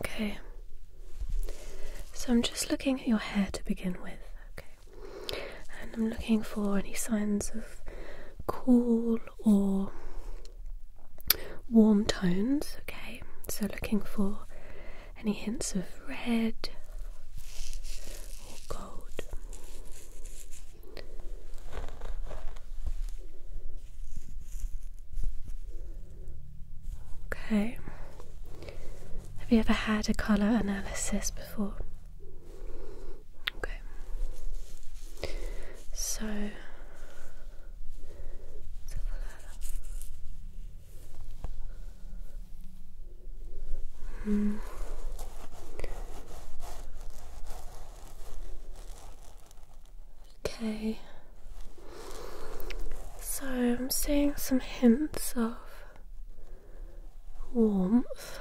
Okay. So I'm just looking at your hair to begin with, okay? And I'm looking for any signs of cool or warm tones, okay? So looking for any hints of red or gold. Okay. Have you ever had a colour analysis before? Okay. So, let hmm. Okay. So I'm seeing some hints of warmth.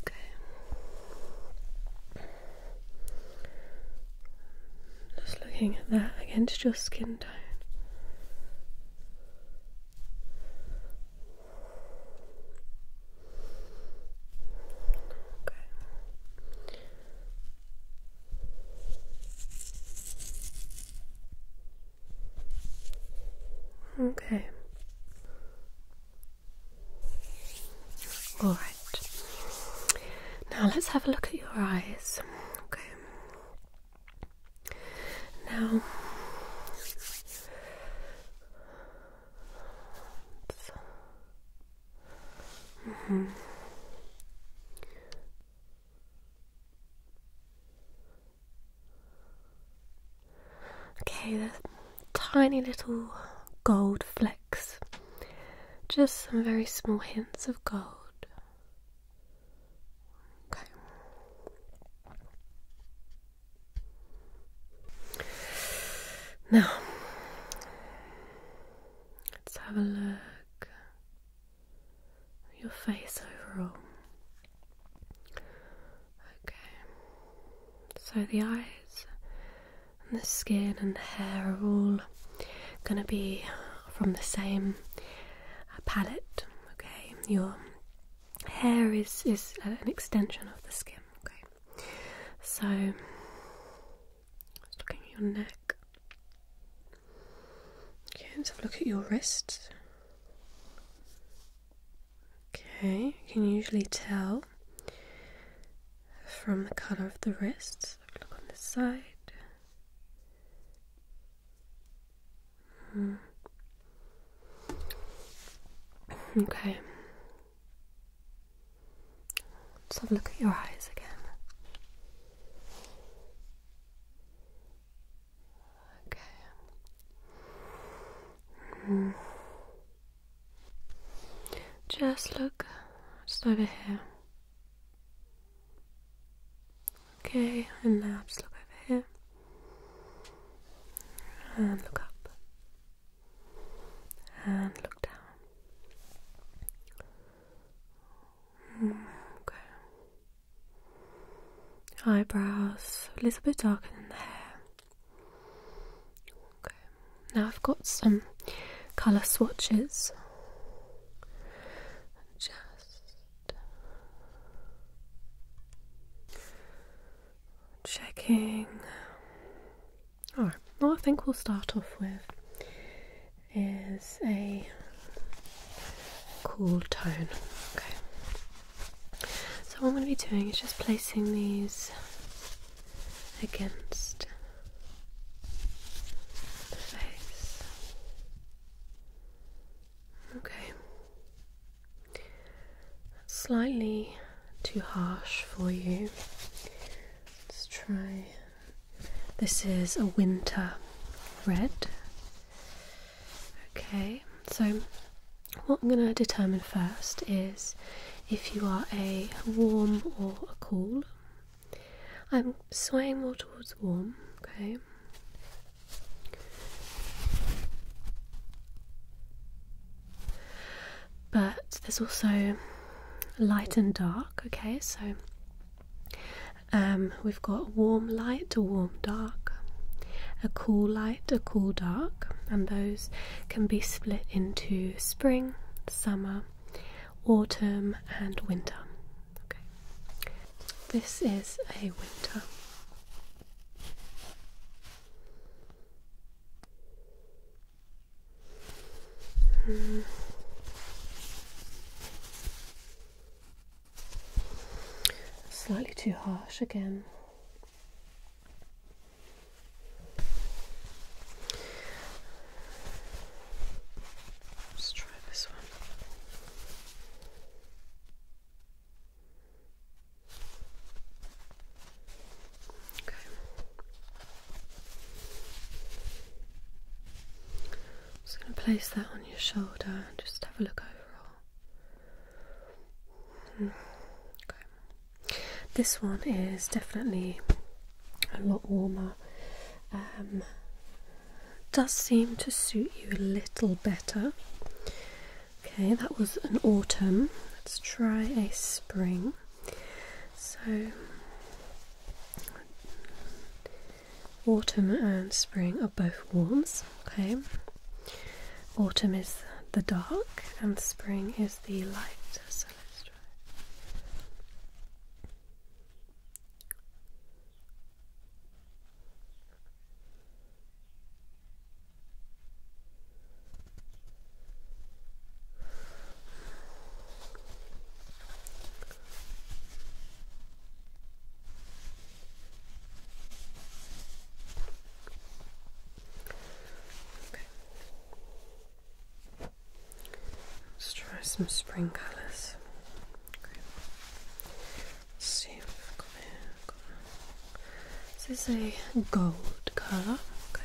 Okay. Just looking at that against your skin tone. Okay. Okay. All right. Now let's have a look at your eyes. Okay. Now. -hmm. Okay, there's tiny little gold flecks, just some very small hints of gold. Okay. Now, let's have a look at your face overall. Okay, so the eyes and the skin and the hair are all going to be from the same uh, palette. Okay, your hair is is an extension of the skin. Okay, so looking at your neck. Okay, let's have a look at your wrist. Okay, you can usually tell from the colour of the wrists. Look on the side. Hmm. Okay. Let's have a look at your eyes again. Okay. Just look just over here. Okay, and now just look over here. And look up. And look down. Mm, okay eyebrows a little bit darker than the hair. Okay. Now I've got some colour swatches. Just checking. Alright, well I think we'll start off with is a cool tone. Okay. So, what I'm going to be doing is just placing these against the face. Okay. slightly too harsh for you. Let's try. This is a winter red. Okay, so what I'm going to determine first is if you are a warm or a cool. I'm swaying more towards warm, okay? But there's also light and dark, okay? So um, we've got warm light to warm dark, a cool light, a cool dark, and those can be split into spring, summer, autumn, and winter. Okay. This is a winter. Hmm. Slightly too harsh again. Let's try this one. Okay. just going to place that on your shoulder and just have a look overall. This one is definitely a lot warmer. Um, does seem to suit you a little better. Okay, that was an autumn. Let's try a spring. So, autumn and spring are both warm. Okay. Autumn is the dark and spring is the light. So let's try. Let's try some spring colours. this is a gold colour. Okay.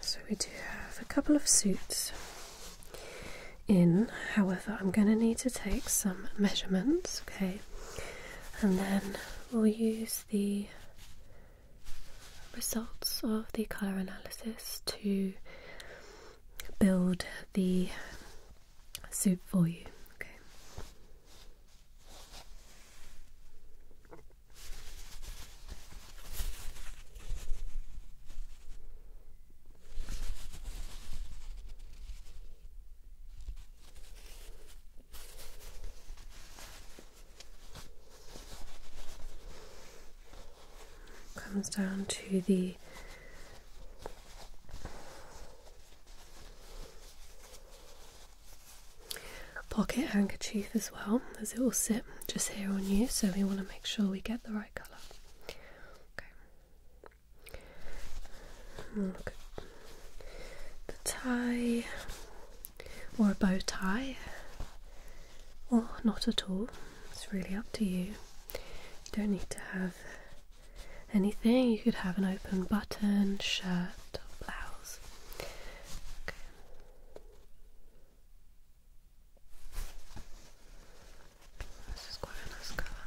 So we do have a couple of suits in, however, I'm going to need to take some measurements, okay, and then we'll use the results of the colour analysis to build the soup for you. Okay. Comes down to the pocket handkerchief as well, as it will sit just here on you, so we want to make sure we get the right colour. Okay the tie or a bow tie or not at all. It's really up to you. You don't need to have anything. You could have an open button, shirt, or blouse. Okay. This is quite a nice colour.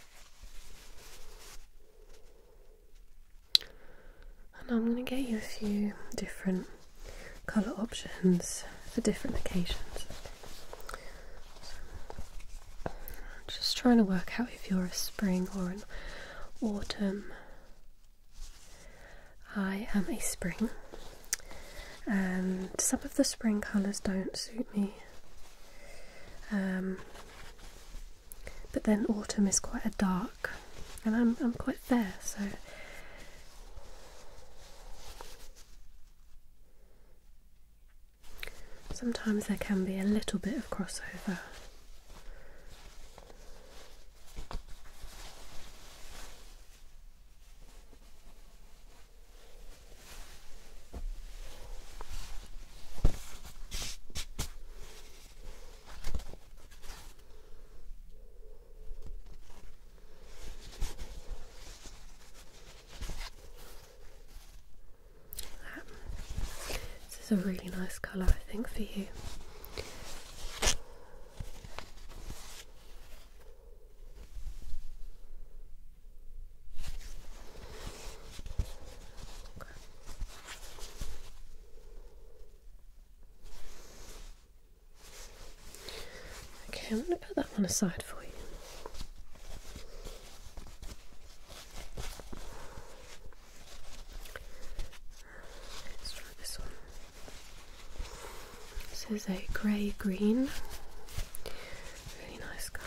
And I'm going to get you a few different colour options for different occasions. just trying to work out if you're a spring or an autumn. I am a spring, and some of the spring colours don't suit me um, but then autumn is quite a dark, and I'm I'm quite fair, so. Sometimes there can be a little bit of crossover. This is a really nice colour, I think, for you. Okay. I'm going to put that one aside for you. Let's try this one. This is a grey green, really nice colour.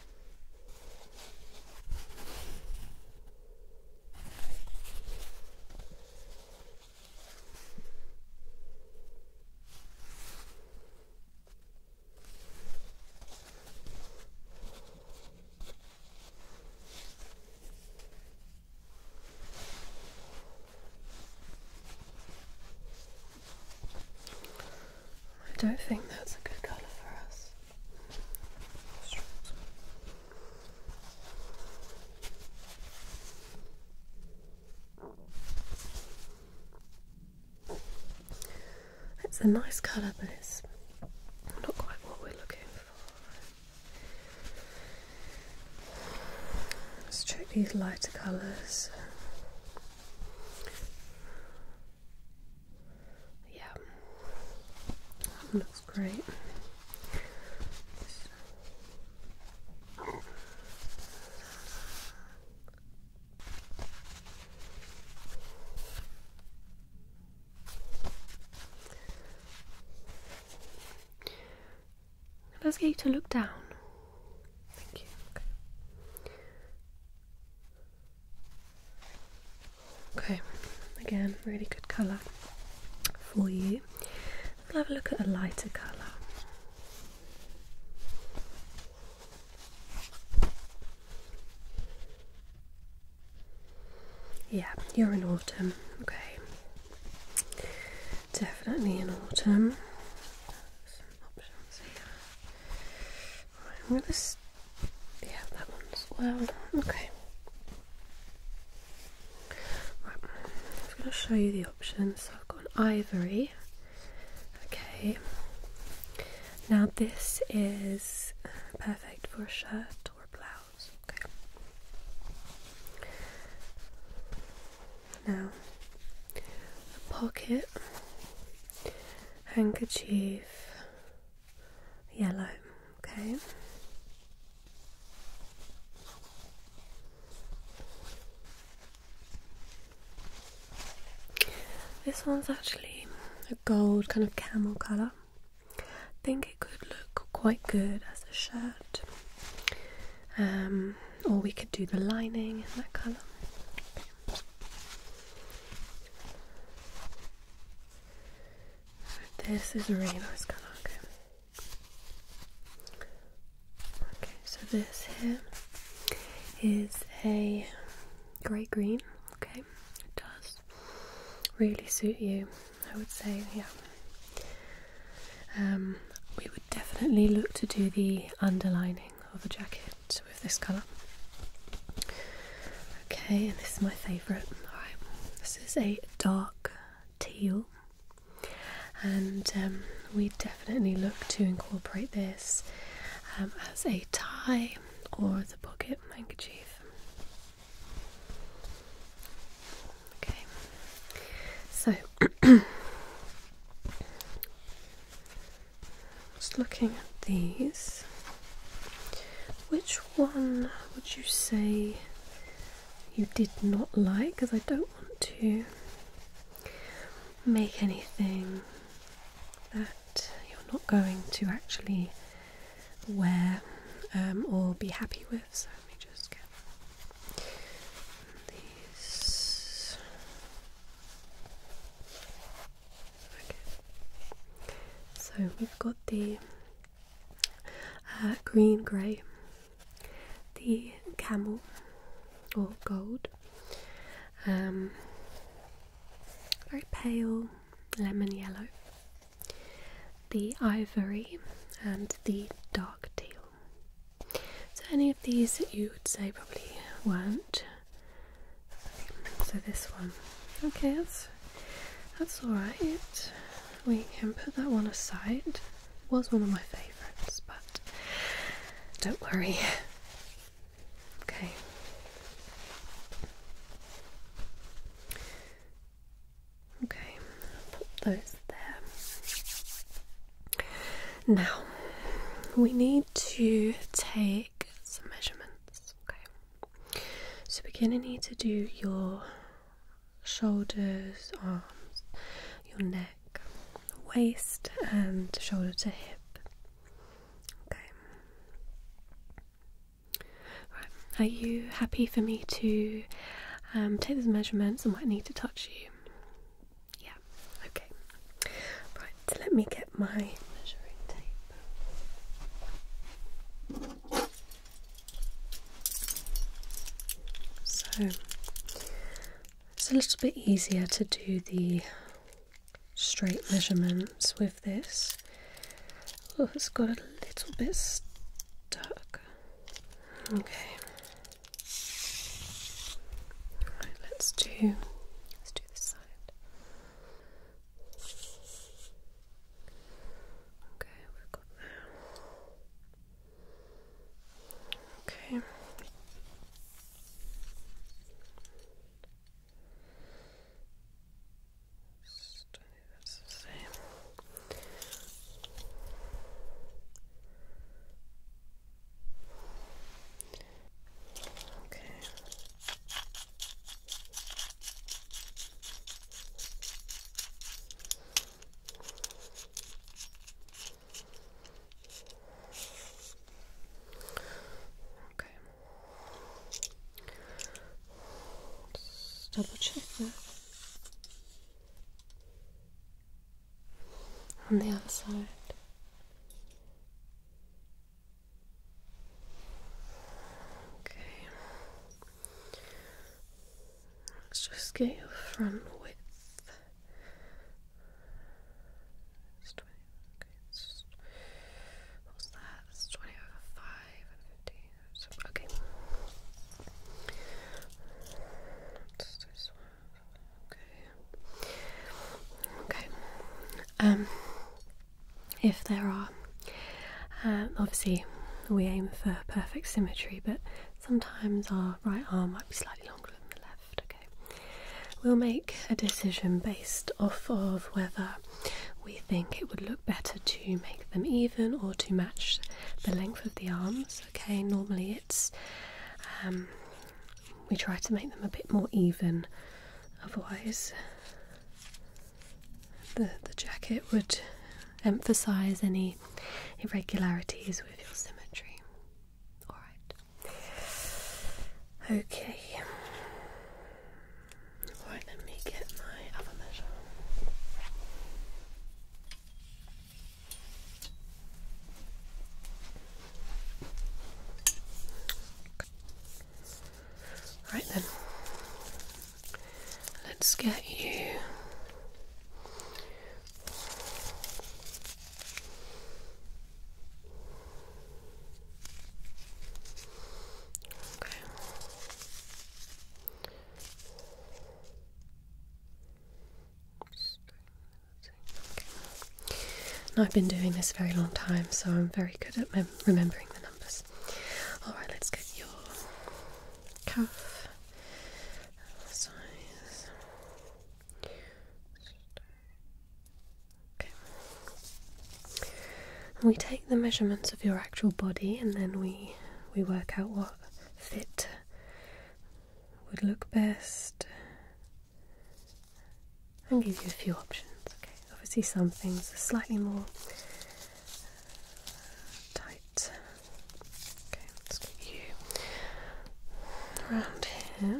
I don't think that's a good colour for us. Strips. It's a nice colour, but it's not quite what we're looking for. Let's check these lighter colours. Yeah, that looks great. Let's get you to look down? Okay, again, really good colour for you. We'll have a look at a lighter colour. Yeah, you're in autumn, okay. Definitely in autumn. options here. I'm gonna. yeah, that one as well. Okay. Right, I'm gonna show you the options. So I've got ivory. Okay. Now this is uh, perfect for a shirt or a blouse. Okay. Now, pocket, handkerchief, yellow. Okay. This one's actually a gold kind of camel colour. I think it could look quite good as a shirt. Um, or we could do the lining in that colour. This is a really nice colour, okay. Okay, so this here is a grey green, okay. It does really suit you, I would say, yeah. Um, we would definitely look to do the underlining of a jacket with this colour. Okay, and this is my favourite. Alright, this is a dark teal, and um, we definitely look to incorporate this um, as a tie or the pocket handkerchief. Okay, so just looking at these. Which one would you say you did not like? Because I don't want to make anything that you're not going to actually wear um, or be happy with. So let me just get these. So we've got the uh, green grey, the camel or gold, um, very pale lemon yellow, the ivory, and the dark teal. So, any of these that you would say probably weren't so this one. Okay, that's that's alright. We can put that one aside. It was one of my favourites, but don't worry. Okay. Okay, put those there. Now we need to take some measurements. Okay, so we're gonna need to do your shoulders, arms, your neck, waist, and shoulder to hip. Okay. Right. Are you happy for me to um, take those measurements? I might need to touch you. Yeah. Okay. Right. Let me get my measuring tape. So it's a little bit easier to do the straight measurements with this. Oh, it's got a little bit stuck. Okay. Right, let's do let's do this side. Okay, we've got that. Okay. Just, that's the Okay. Okay. double check that. On the other side. Okay. Let's just get your front width. It's 20, okay, what's that? That's 20 over 5 and 15. okay. let this one. Okay. Okay. Um, if there are. Um, obviously, we aim for perfect symmetry, but sometimes our right arm might be slightly longer than the left. Okay, we'll make a decision based off of whether we think it would look better to make them even or to match the length of the arms. Okay, normally it's um, we try to make them a bit more even, otherwise the, the jacket would emphasize any irregularities with your symmetry. Alright. Okay. Alright, let me get my other measure. Right then, Let's get you okay. I've been doing this very long time, so I'm very good at remembering the numbers. Alright, let's get your cuff size. Okay. we take the measurements of your actual body and then we we work out what fit would look best and give you a few options. Okay, obviously some things slightly more tight. Okay, let's get you around here.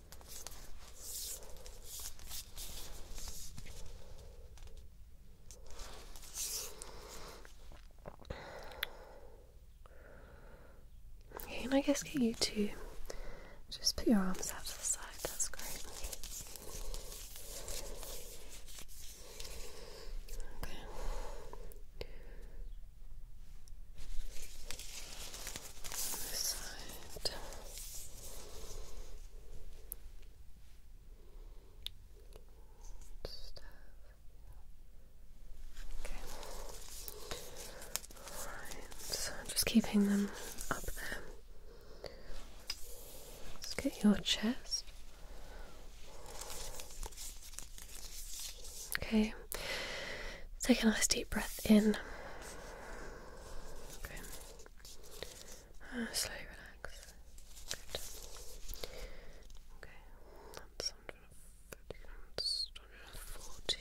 Okay, and I guess get you to just put your arms out to the side, that's great. Okay. Just keeping them up there. let get your chest. Okay. Take a nice deep breath in Okay. Uh, ah, slowly relax. Okay. That's 140.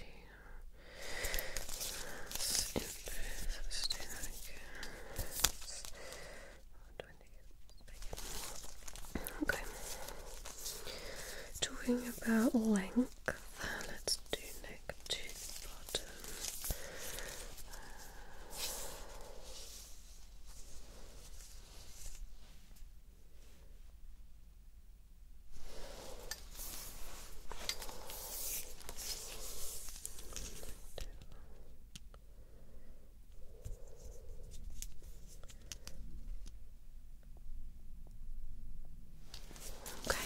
That's inverse. Let's do that again. That's 120. Okay. Talking about length, let's do neck to the bottom. Okay.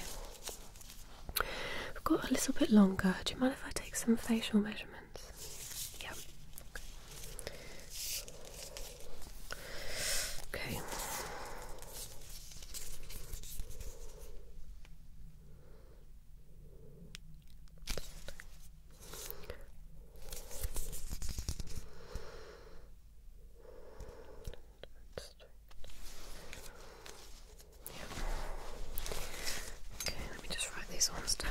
We've got a little bit longer. Do you mind if I take some facial measurements? Yep. Okay. Yeah. Okay, let me just write these ones down.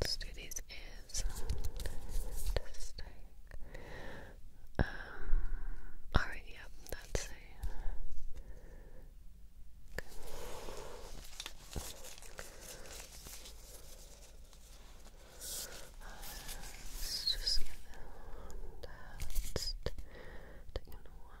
Let's do these um, alright, yep, that's it. Uh, let's just get that one. one.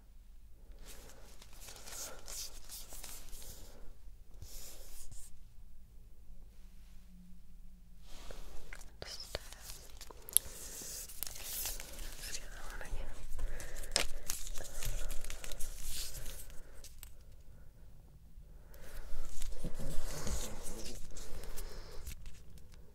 Just, uh, let's do that one again. Okay.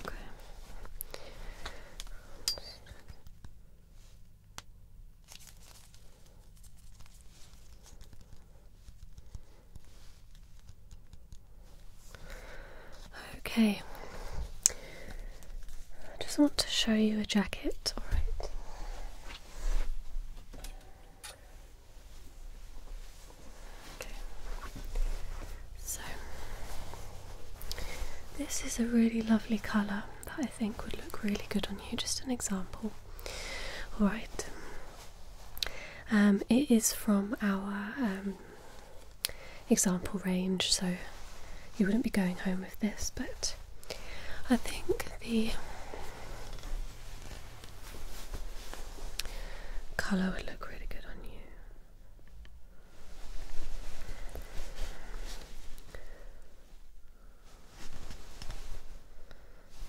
Okay. Okay. I just want to show you a jacket, alright? So, this is a really lovely colour that I think would look really good on you. Just an example. Alright. Um, it is from our um, example range, so you wouldn't be going home with this, but I think the Colour would look really good on you.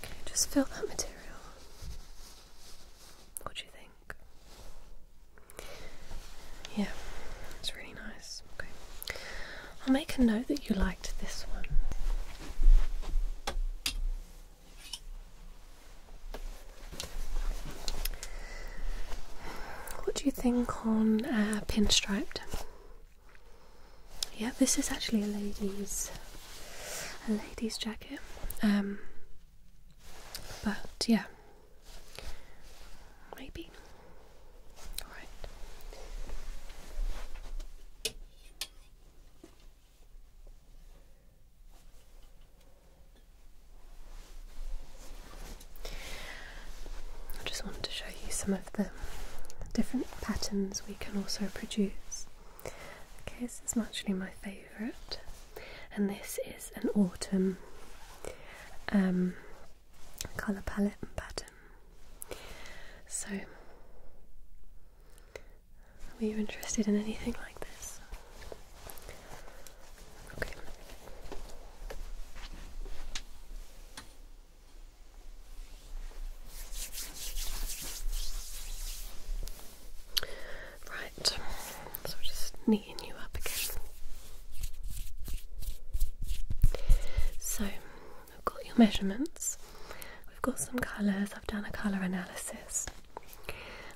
Okay, just fill that material. What do you think? Yeah, it's really nice. I'll make a note that you liked this one. What do you think on uh, pinstriped? Yeah, this is actually a lady's a lady's jacket. Um, but yeah, maybe. All right. I just wanted to show you some of the different patterns we can also produce. Okay, this is actually my favourite, and this is an autumn um, colour palette pattern. So are you interested in anything like this? Okay. Right, so we just kneeing you up again. So, I've got your measurements, we've got some colours, I've done a colour analysis.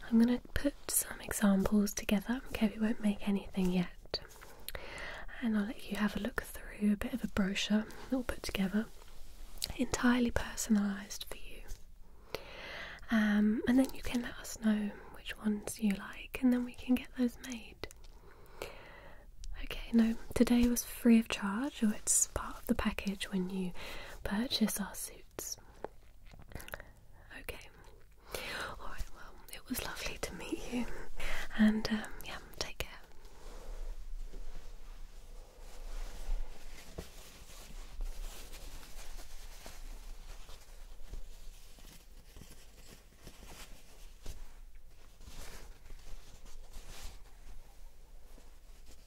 I'm going to put some examples together. Okay, we won't make anything yet. And I'll let you have a look through a bit of a brochure that we'll put together, entirely personalised for you. Um, and then you can let us know which ones you like, and then we can get those made. Okay, no, today was free of charge, or it's part of the package when you purchase our suits. Okay. Alright, well, it was lovely to meet you. And, um, yeah, take care.